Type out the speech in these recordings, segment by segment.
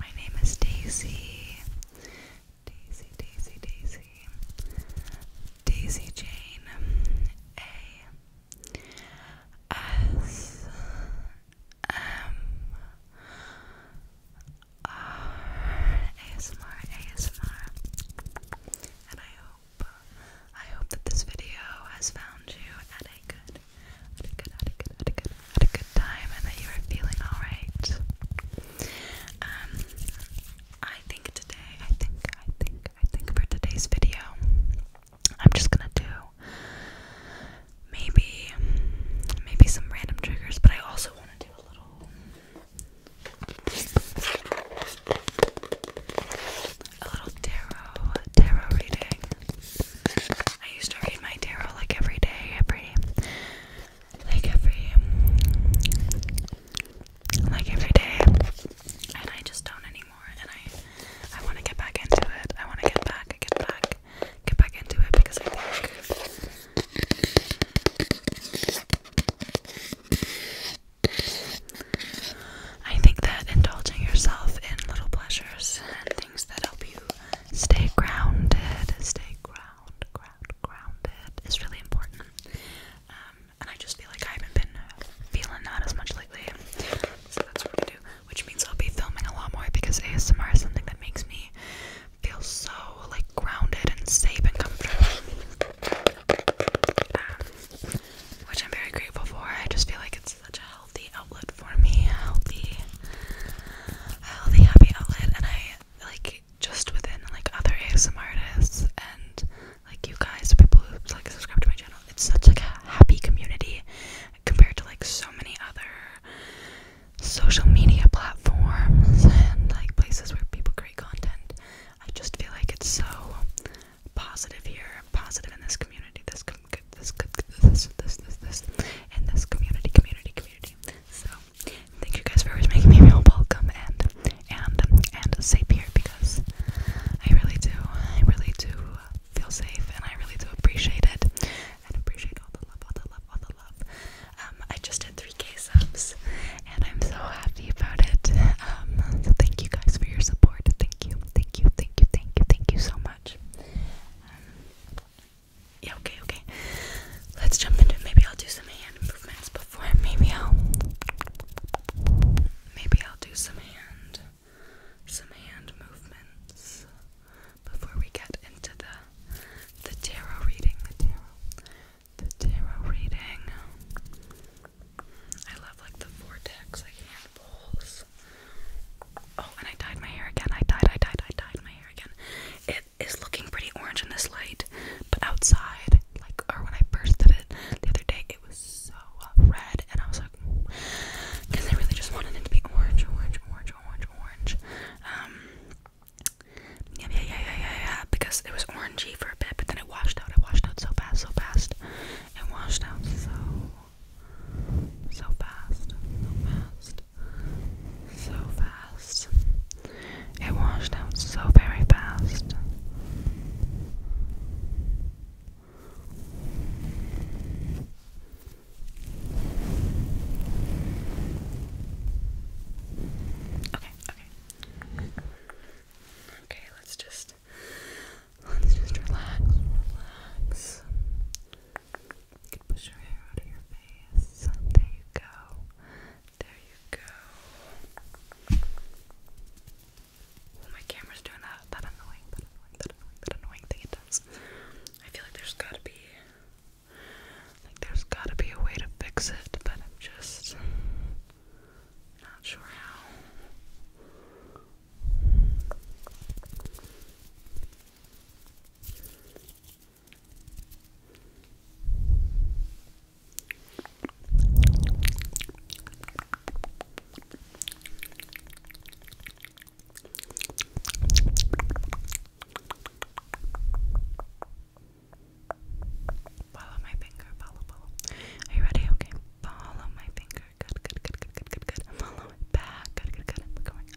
my name is Daisy. Daisy, Daisy, Daisy. Daisy Jane. A. S. M. R. ASMR, ASMR. And I hope, I hope that this video has found you at a good, at a good, at a good, at a good, had a good time and that you were feeling alright. Um, I think today, I think, I think, I think for today's video, I'm just gonna do maybe, maybe some random triggers, but I also want to do a little, a little tarot, tarot reading. I used to read my tarot like every day, every like every like every day and I just don't anymore and I I wanna get back into it. I wanna get back, get back, get back into it because I think I think that indulging yourself in little pleasures things that help you stay grounded, stay ground, ground, grounded is really important. Um, and I just feel like I haven't been feeling that as much lately, so that's what we're gonna do. Which means I'll be filming a lot more because ASMR is something that makes me feel so like grounded and safe and comfortable. Um, which I'm very grateful for. I just feel like it's such a healthy outlet outlet for me, a healthy, a healthy, happy outlet. And I like just within like other ASMR artists and like you guys, people who like subscribe to my channel. It's such like a happy community compared to like so many other social media platforms and like places where people create content. I just feel like it's so positive here, positive in this community, this com this this this this this in this community, community, community. So thank you guys for always making me feel welcome and and and safe here because I really do I really do feel safe and I really do appreciate it and appreciate all the love all the love all the love. Um, I just did 3k subs and I'm so happy about it. Um, so thank you guys for your support. Thank you, thank you, thank you, thank you, thank you so much. Um, yeah, okay, okay. Let's jump into it. Maybe I'll do some hand movements before. Maybe I'll. Maybe I'll do some hand. Some hand movements before we get into the the tarot reading. The tarot. The tarot reading. I love like the vortex, like hand bowls. Oh, and I dyed my hair again. I dyed, I dyed, I dyed my hair again. It is looking pretty orange in this light, but outside, like, or when I first did it the other day, it was so uh, red, and I was like, because I really just wanted it to be orange, orange, orange, orange, orange. Um, yeah, yeah, yeah, yeah, yeah, because it was orangey for a bit, but then it washed out. It washed out so fast, so fast. It washed out so, so fast, so fast so fast. It washed out so very fast. Okay, okay. Okay, let's just let's just relax, you can push your hair out of your face. There you go. There you go. Oh, my camera's doing that, that annoying, that annoying, that annoying, that annoying thing it does. I feel like there's gotta be, like there's gotta be a way to fix it, but I'm just not sure how. Follow my finger, follow, follow. Are you ready? Okay. Follow my finger. Good, good, good, good, good, good, good. Follow it back. Good, good, good. Look over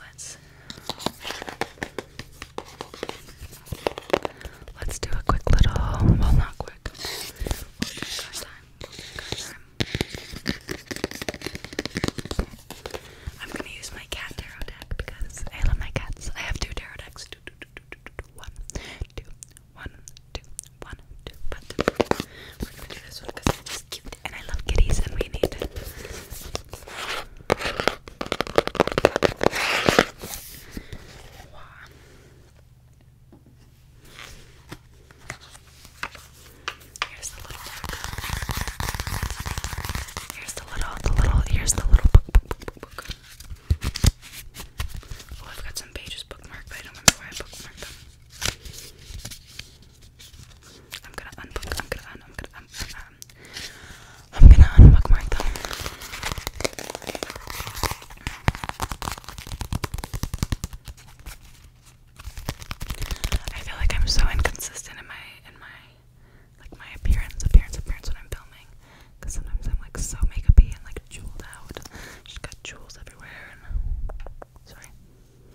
Let's let's do a quick little well not quick. we time. we time. I'm gonna use my cat tarot deck because I love my cats. I have two tarot decks. Two, two, two, two, two, two, one, two, one, two, one, two. we're gonna do this because it's cute and I love kitties and we need it. Here's the little Here's the little, the little, here's the little book, Oh, I've got some pages bookmarked, but I don't remember where I bookmarked them. I'm gonna unbook. I'm gonna un. I'm gonna um, I'm gonna unbook my thumb. I feel like I'm so inconsistent in my in my like my appearance, appearance, appearance when I'm filming. Cause sometimes I'm like so makeupy and like jeweled out. Just got jewels everywhere. And, sorry,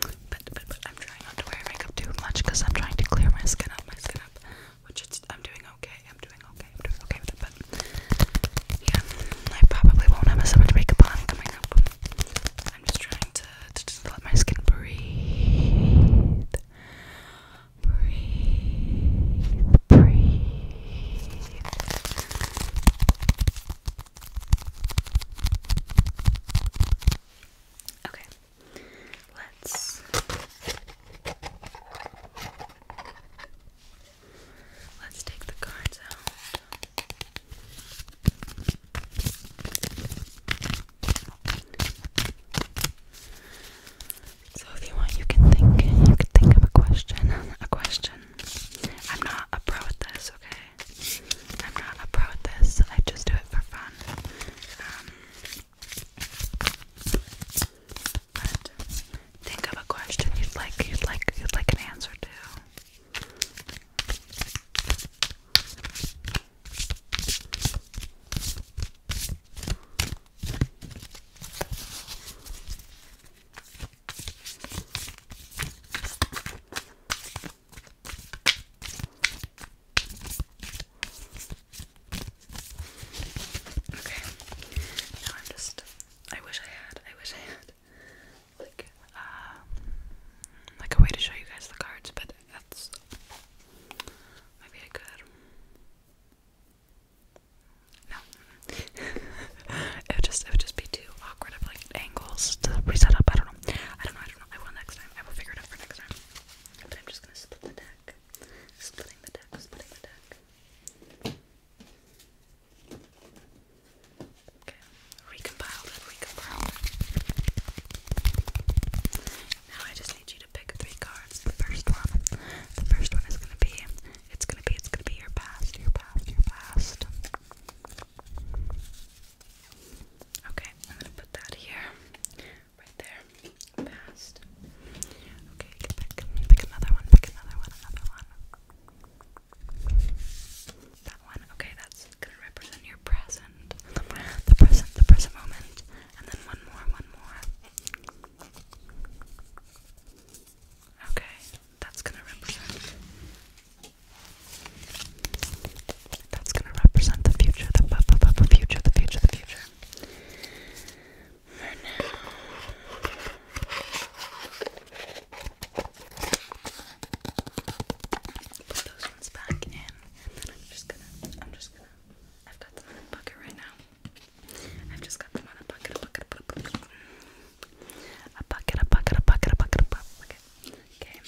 but but but I'm trying not to wear makeup too much because I'm trying to clear my skin up. My skin up which I'm doing okay, I'm doing okay, I'm doing okay with it, but yeah, I probably won't have as much makeup on coming up. I'm just trying to, to just let my skin breathe, breathe, breathe. Okay, let's let's take the cards out. So if you want you can think you can think of a question. A question. I'm not a pro this, okay? I'm not a pro this. I just do it for fun. Um, but think of a question you'd like you'd like you'd like an answer to. Okay. Now I'm just I wish I had, I wish I had like uh like a way to show you guys the cards, but that's maybe I could no. it would just it would just be too awkward of like angles to reset up. I don't know. I don't know, I don't know. I will next time. I will figure it out for next time. But I'm just gonna split the deck. Splitting the deck, splitting the deck. Okay, recompiled it, Now I just need you to pick three cards. The first one, the first one is gonna be, it's gonna be, it's gonna be your past, your past, your past. Okay, I'm gonna put that here. Right there. Past. Okay, Pick another one. Pick another one. Another one. That one. Okay, that's gonna represent your present. The present. The present moment. And then one more. One more. Okay, that's gonna represent that's gonna represent the future, the future. bu bu future, the future, the future. Put those ones back in. I'm just gonna I'm just gonna I've got a bucket right now. I've just got them in a bucket, a bucket, a bucket. A bucket, a bucket, Okay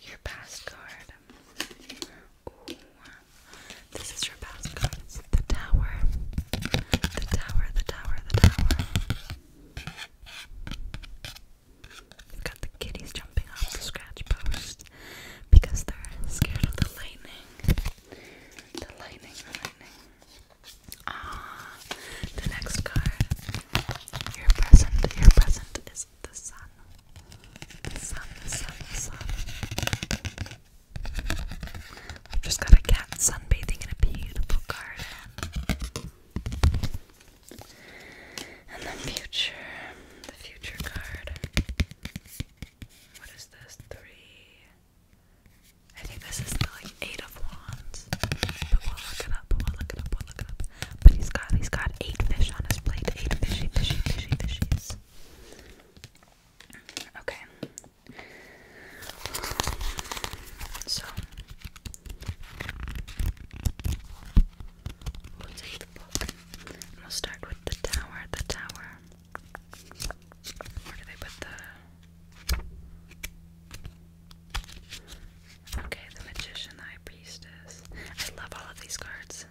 your past card. This is your past The tower. The tower, the tower, the tower. You've got the kitties jumping off the scratch post because they're scared of the lightning. The lightning, the lightning. Ah, the next card. Your present, your present is the sun. The sun, the sun, the sun. I've just got a cat sunbathing in a beautiful garden. And the future, the future card. What is this? Three. I think this is the like eight of wands. But we'll look it up. We'll look it up. We'll look it up. But he's got he's got eight fish on his plate. Eight fishy, fishy, fishy, fishies. Okay. So we'll start with the tower. The tower. Where do they put the Okay, the magician, the high priestess. I love all of these cards.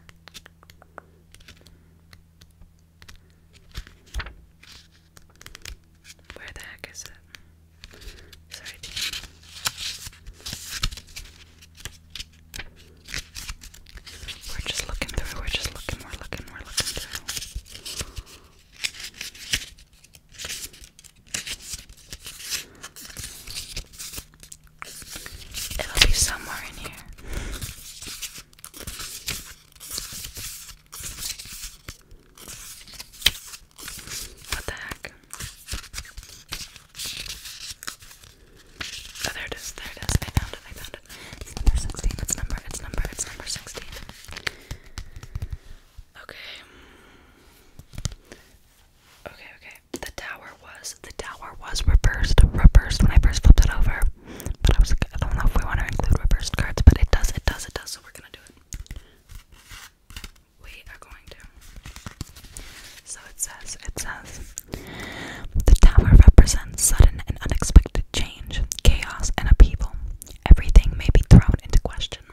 Where the heck is it? Sorry, We're just looking through, we're just looking, we're looking, we're looking through. It'll be somewhere in here. What the heck? Oh, there it is, there it is. I found it, I found it. It's number 16, it's number, it's number, it's number 16. Okay. Okay, okay. The tower was the tower was reversed, reversed when I first flipped it over. But I was I don't know if we want to include reversed cards, but it does, it does, it does. So we're gonna do it. We are going to. So it says, it says, the tower represents sudden and unexpected change, chaos, and upheaval. Everything may be thrown into question.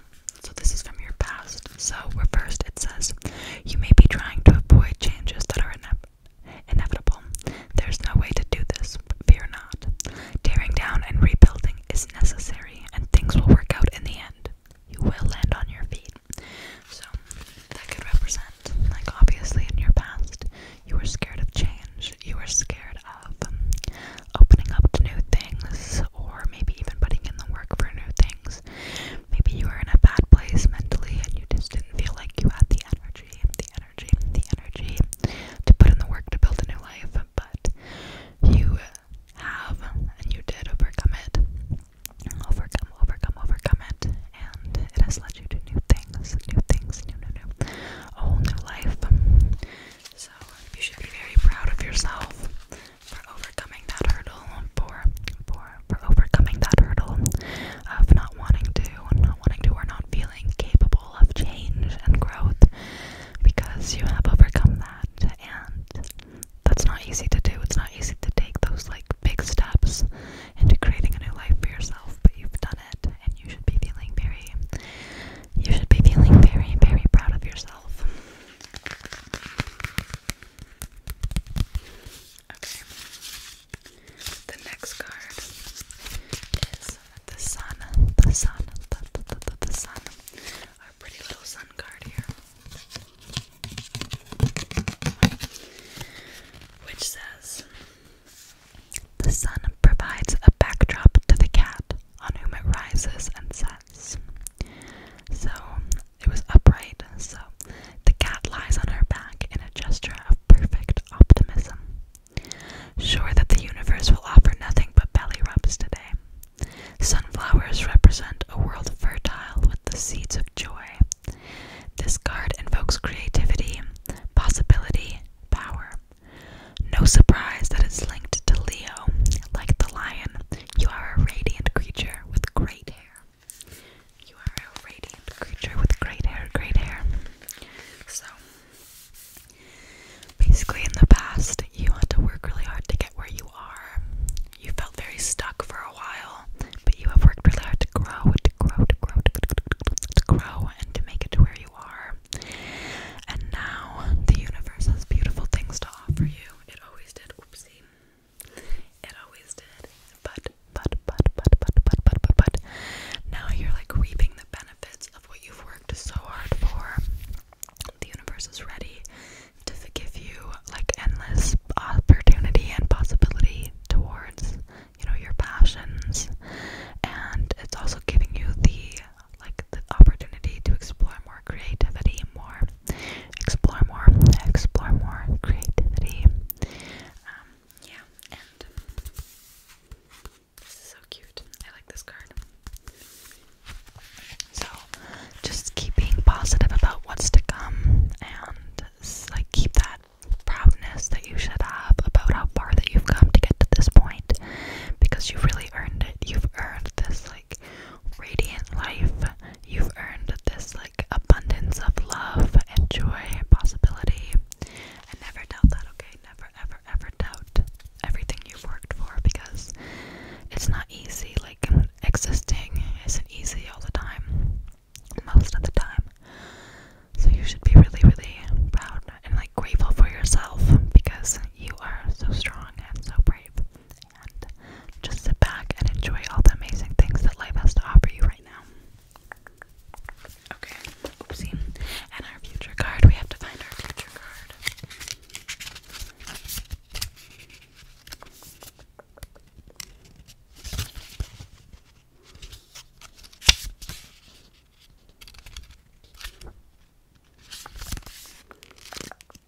So this is from your past. So reversed, it says, you may be trying to avoid changes that are ine inevitable. There's no way to do this, but fear not. Tearing down and rebuilding is necessary, and things will work out in the end. You will land on your feet. So, that could represent, like, obviously, in your past, you were scared of change. You were scared of um, opening up to new things, or maybe even putting in the work for new things. Maybe you were in a bad place mentally and you just didn't feel like you had the energy, the energy, the energy to put in the work to build a new life, but you have and you did overcome it. Overcome, overcome, overcome it, and it has led you to new things, new things, new, new, new, a whole new life. So you should be very proud of yourself for overcoming that hurdle hurdle, for for for overcoming that hurdle of not wanting to, not wanting to, or not feeling capable of change and growth, because you have overcome that, and that's not easy to do. It's not easy to take those like big steps into creating a new life for yourself, but you've done it, and you should be feeling very, you should be feeling very, very proud of yourself. Okay. The next card is the sun. The sun. The, the, the, the sun. Our pretty little sun card here. Which says The sun provides a backdrop to the cat on whom it rises and sets. So it was upright, so the cat lies on her back in a gesture of perfect optimism. Sure that the universe will offer nothing but belly rubs today. Sunflowers represent a world fertile with the seeds of joy. This card invokes creativity, possibility, power. No surprise that it's linked to Leo. Like the lion, you are a radiant creature with great hair. You are a radiant creature with great hair, great hair. So, basically, in the past, you had to work really hard to get where you are. You felt very stuck for a while, but you have worked really hard to grow, to grow, to grow, to, grow, and to make it to where you are. And now the universe has beautiful things to offer you. It always did. Oopsie. It always did. But, but, but, but, but, but, but, but, but, now you're like reaping the benefits of what you've worked so hard for. The universe is ready to give you like endless opportunity and possibility towards, you know, your passions. And it's also giving you the like the opportunity to explore more creativity, more explore more, explore more creativity. Um, yeah, so cute. I like this card. So, just keep being positive about what's to come, and like keep that proudness that you should have about how far that you've come to get to this point, because you've really earned it. You've earned this like radiant life you've earned this like abundance of love and joy and possibility. And never doubt that, okay? Never ever ever doubt everything you've worked for because it's not easy. Like existing isn't easy all the time. Most of the time. So you should be really, really proud and like grateful for yourself because you are so strong and so brave and just sit back and enjoy all the amazing things that life has to offer you right now. Okay, oopsie. And our future card, we have to find our future card.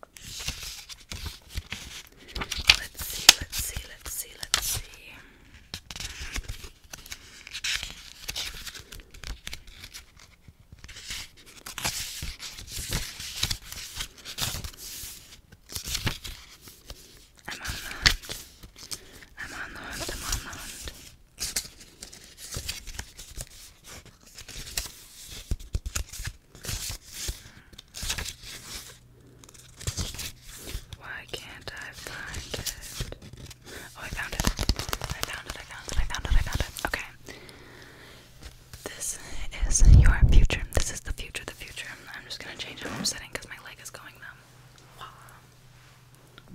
Let's see, let's see, let's see, let's see. I'm on the hunt. I'm on the hunt. I'm on the hunt. Why can't I find it? Oh, I found it. I found it. I found it. I found it. I found it. Okay. This is your future. This is the future. The future. I'm just gonna change how I'm sitting because my leg is going numb.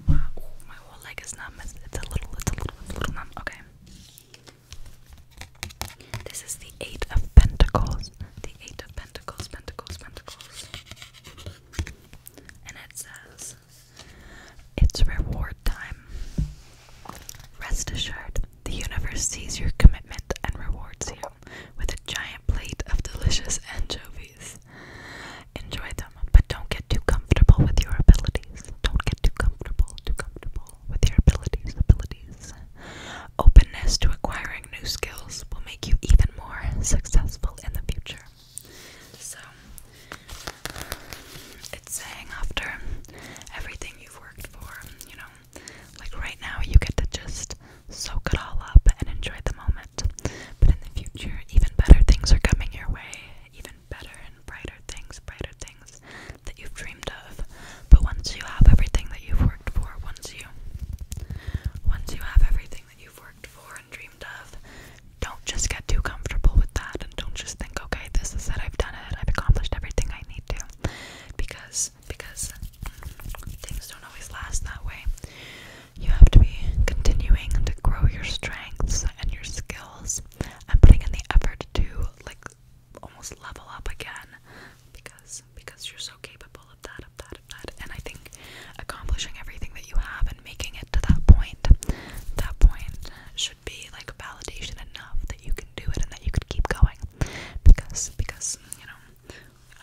Wow. Wow. my whole leg is numb. it's a little. It's a little. It's a little numb. Okay. This is the Eight of Pentacles. The Eight of Pentacles, Pentacles, Pentacles. And it says, It's reward time. Rest assured, the universe sees your commitment and rewards you with a giant plate of delicious anchovies. Enjoy them, but don't get too comfortable with your abilities. Don't get too comfortable, too comfortable with your abilities, abilities. Openness to acquiring new skills will make you even more successful in the future. So, it's saying after everything you've worked for, you know, like right now you get to just soak it all up and enjoy the moment. But in the future, even better things are coming your way, even better and brighter things, brighter things that you've dreamed of. But once you have everything that you've worked worked for once you once you have everything that you've worked for and dreamed of don't just get too comfortable with that and don't just think okay this is it I've done it I've accomplished everything I need to because because things don't always last that way you have to be continuing to grow your strengths and your skills and putting in the effort to like almost level up again because because you're so capable of that, of that, of that. And I think accomplishing everything that you have and making it to that point, that point should be like validation enough that you can do it and that you could keep going. Because because you know,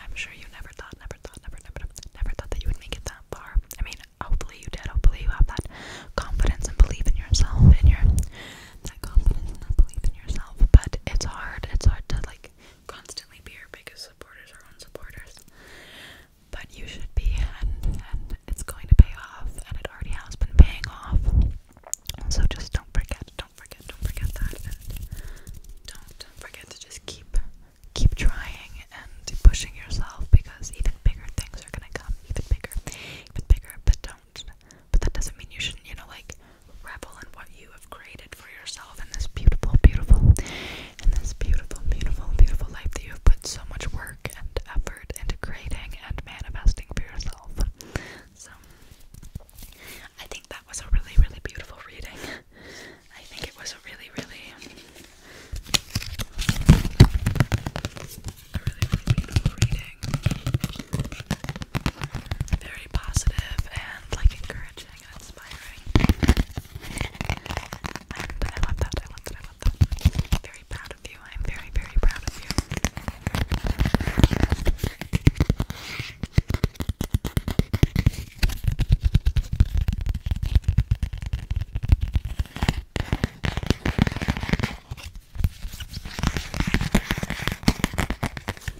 I'm sure you never thought, never thought, never, never, never thought that you would make it that far. I mean, hopefully you did. Hopefully you have that confidence and belief in yourself and your that confidence and that belief in yourself. But it's hard. It's hard to like constantly be your biggest supporters or own supporters. But you should be, and and it's going to pay off, and it already has been paying off. So just don't forget, don't forget, don't forget that, and don't forget to just keep keep trying and pushing yourself because even bigger things are gonna come, even bigger, even bigger. But don't that. But that doesn't mean you shouldn't, you know, like revel in what you have created for yourself in this beautiful, beautiful, in this beautiful, beautiful, beautiful life that you have put so much work and effort into creating and manifesting for yourself. So, I think that was a really, really beautiful reading. I think it was a really, really, really, really beautiful reading. Very positive and like encouraging inspiring. I love that. I love that. I love that. am very proud of you. I'm very, very proud of you.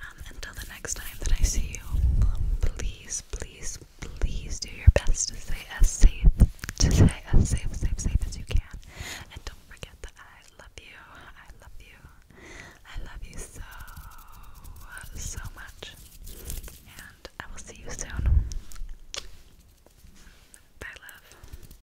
Um, until the next time that I see you, please, please, please do your best to stay safe, to stay as safe, safe, safe as you can. And don't forget that I love you. I love you. I love you so, so much. And I will see you soon. Bye, love.